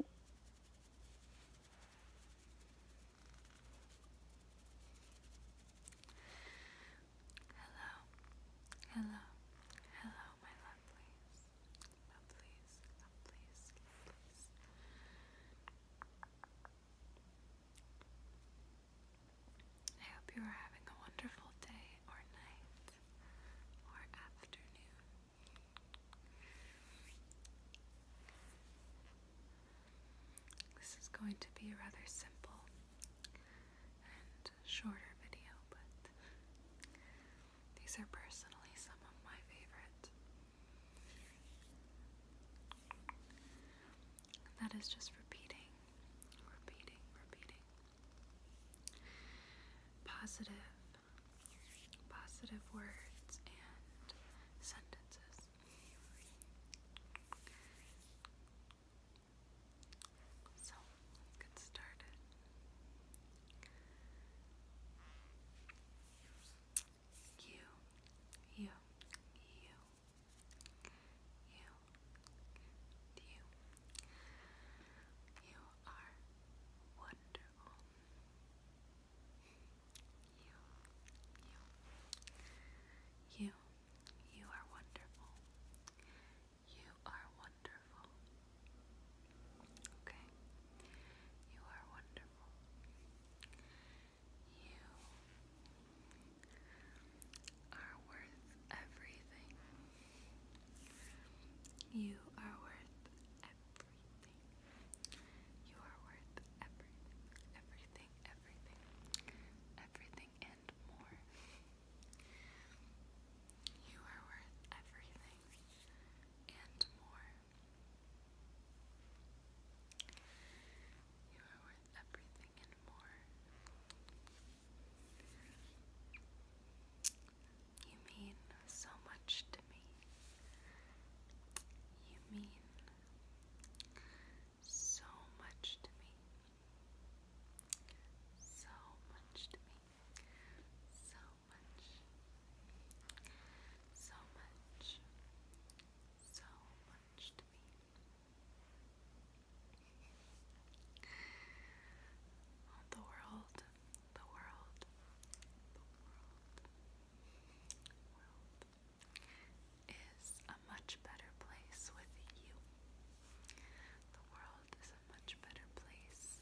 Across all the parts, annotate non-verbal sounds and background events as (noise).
Hello, hello, hello, my lovelies, lovelies, lovelies, lovelies. I hope you are having a wonderful day or night or afternoon. This is going to be a rather simple and shorter video, but these are personally some of my favorite. that is just repeating, repeating, repeating. Positive positive words and sentences. So let's get started. You, you, you, you, you, you are worthy wonderful. You, you, you are wonderful. You are wonderful. Okay? You are wonderful. You are worth everything. You are worth everything. You are worth everything, everything, everything, everything, and more. You are worth everything and more. You are worth everything and more. You mean so much to me. You mean so much to me. So much to me. So much. So much. So much to me. The world, the world, the world, is a much better place with you. The world is a much better place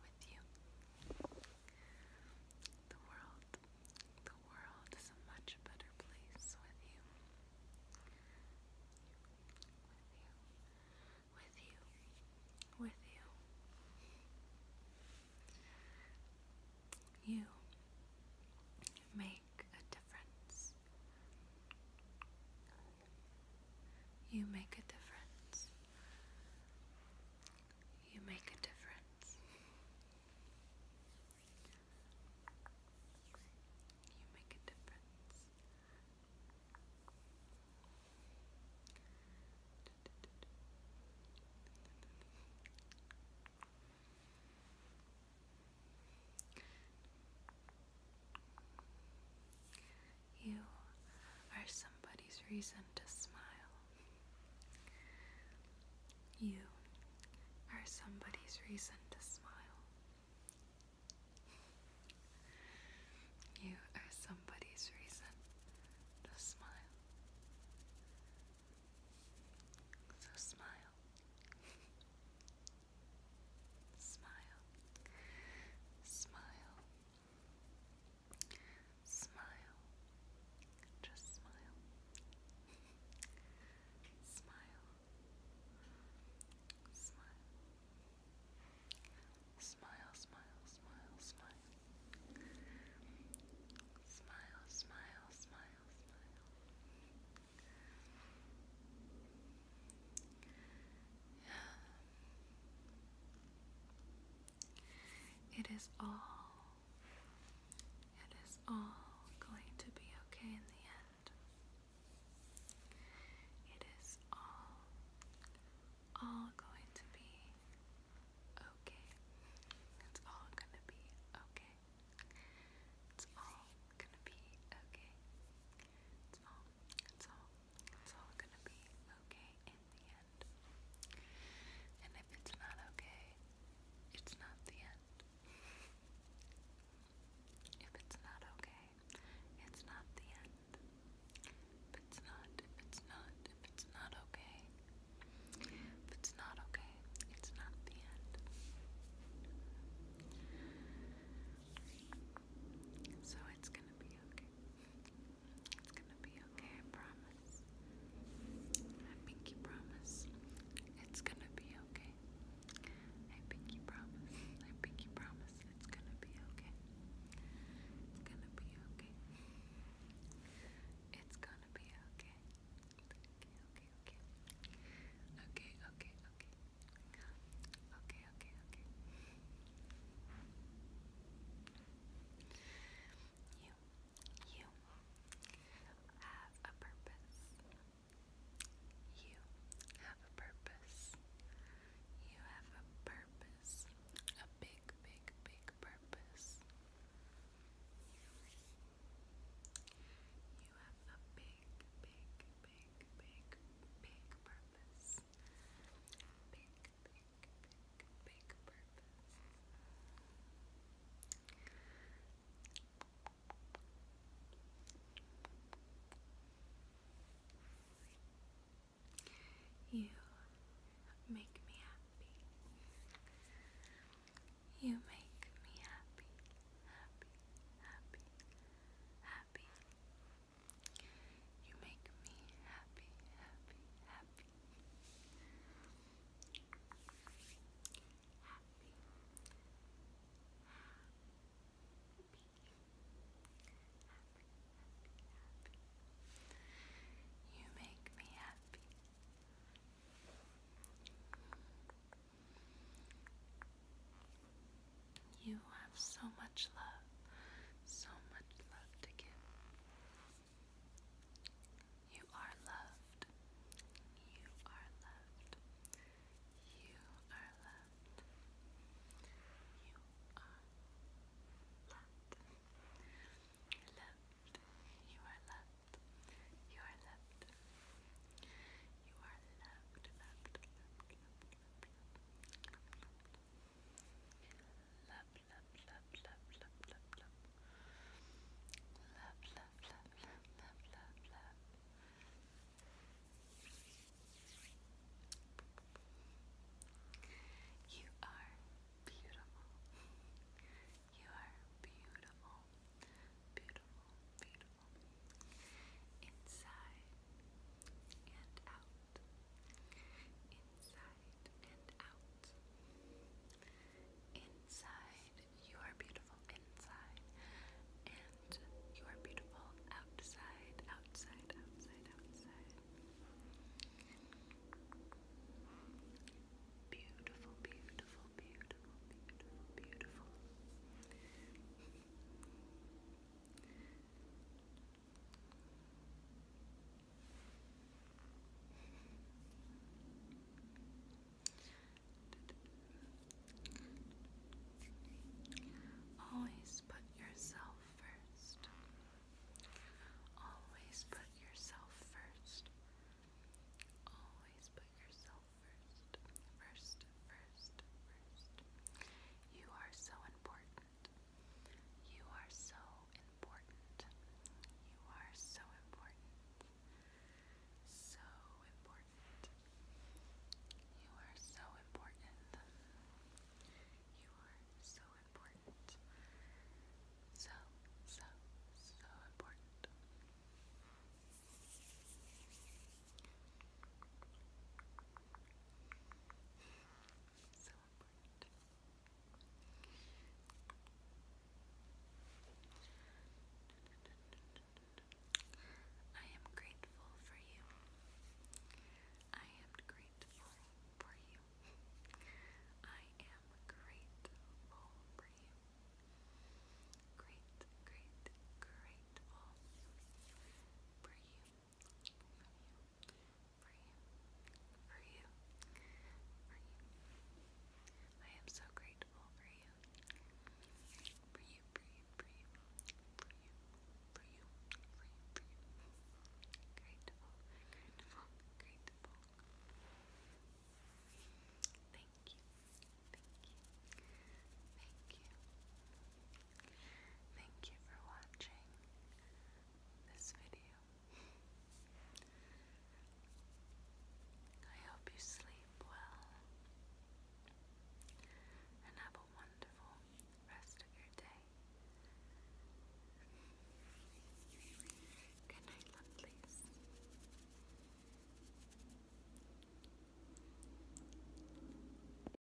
with you. The world, the world is a much better place With you with you, with you. You make a difference. You make a difference. You make a difference. You make a difference. You are somebody's reason to smile. You are somebody's reason to smile. You are somebody's reason to smile. So smile. smile. Smile. Smile. Just smile. (laughs) smile. Smile. Smile, smile, smile, smile. Smile, smile, It is all. It is all going to be okay in the end. It is all, all going to be okay. It's all gonna be okay. It's all gonna be okay. It's all, it's all, it's all gonna be okay in the end. And if it's not okay, it's not the end. If it's not okay, it's not the end. If it's not, if it's not, if it's not okay, if it's not okay, it's not the end. So it's gonna be okay. It's gonna be okay, I promise. I pinky promise. It's gonna be okay. I pinky promise. I pinky promise it's gonna be okay. It's gonna be okay. It's gonna be okay. Okay, okay, okay. Okay, okay, okay. You you have a purpose. You have a purpose. You have a purpose. A big, big, big purpose. You have a big, big, big, big, big purpose. Big, big, big, purpose. You make me happy. You make me happy, happy, happy, happy. You make me happy, happy, happy, happy. You make me happy. You have so much love, so much love to give. You are loved. You are loved. You are loved. You are loved. loved. You are loved. You are loved. You are loved. loved. loved. loved. loved. loved. loved love, You are beautiful. You are beautiful, beautiful, beautiful. Inside and out. Inside Inside, you are beautiful inside, and you are beautiful outside, outside, outside, outside. Beautiful, beautiful, beautiful, beautiful, beautiful. Always put yourself first. Always put yourself first. Always put yourself first. First, first, first. You are so important. You are so important. You are so important. So important. You are so important. You are so important. So, so, so important. So important. I am grateful for you. I am grateful for you. I am grateful for you. Great, great, grateful for you for you, for you, for you. I am so grateful for you, for you, for you, for you, for you, for you, for you, for you. Grateful, grateful, grateful. Thank you, thank you, thank you, Thank you for watching this video. I hope you sleep well and have a wonderful rest of your day. Good night, lovelies.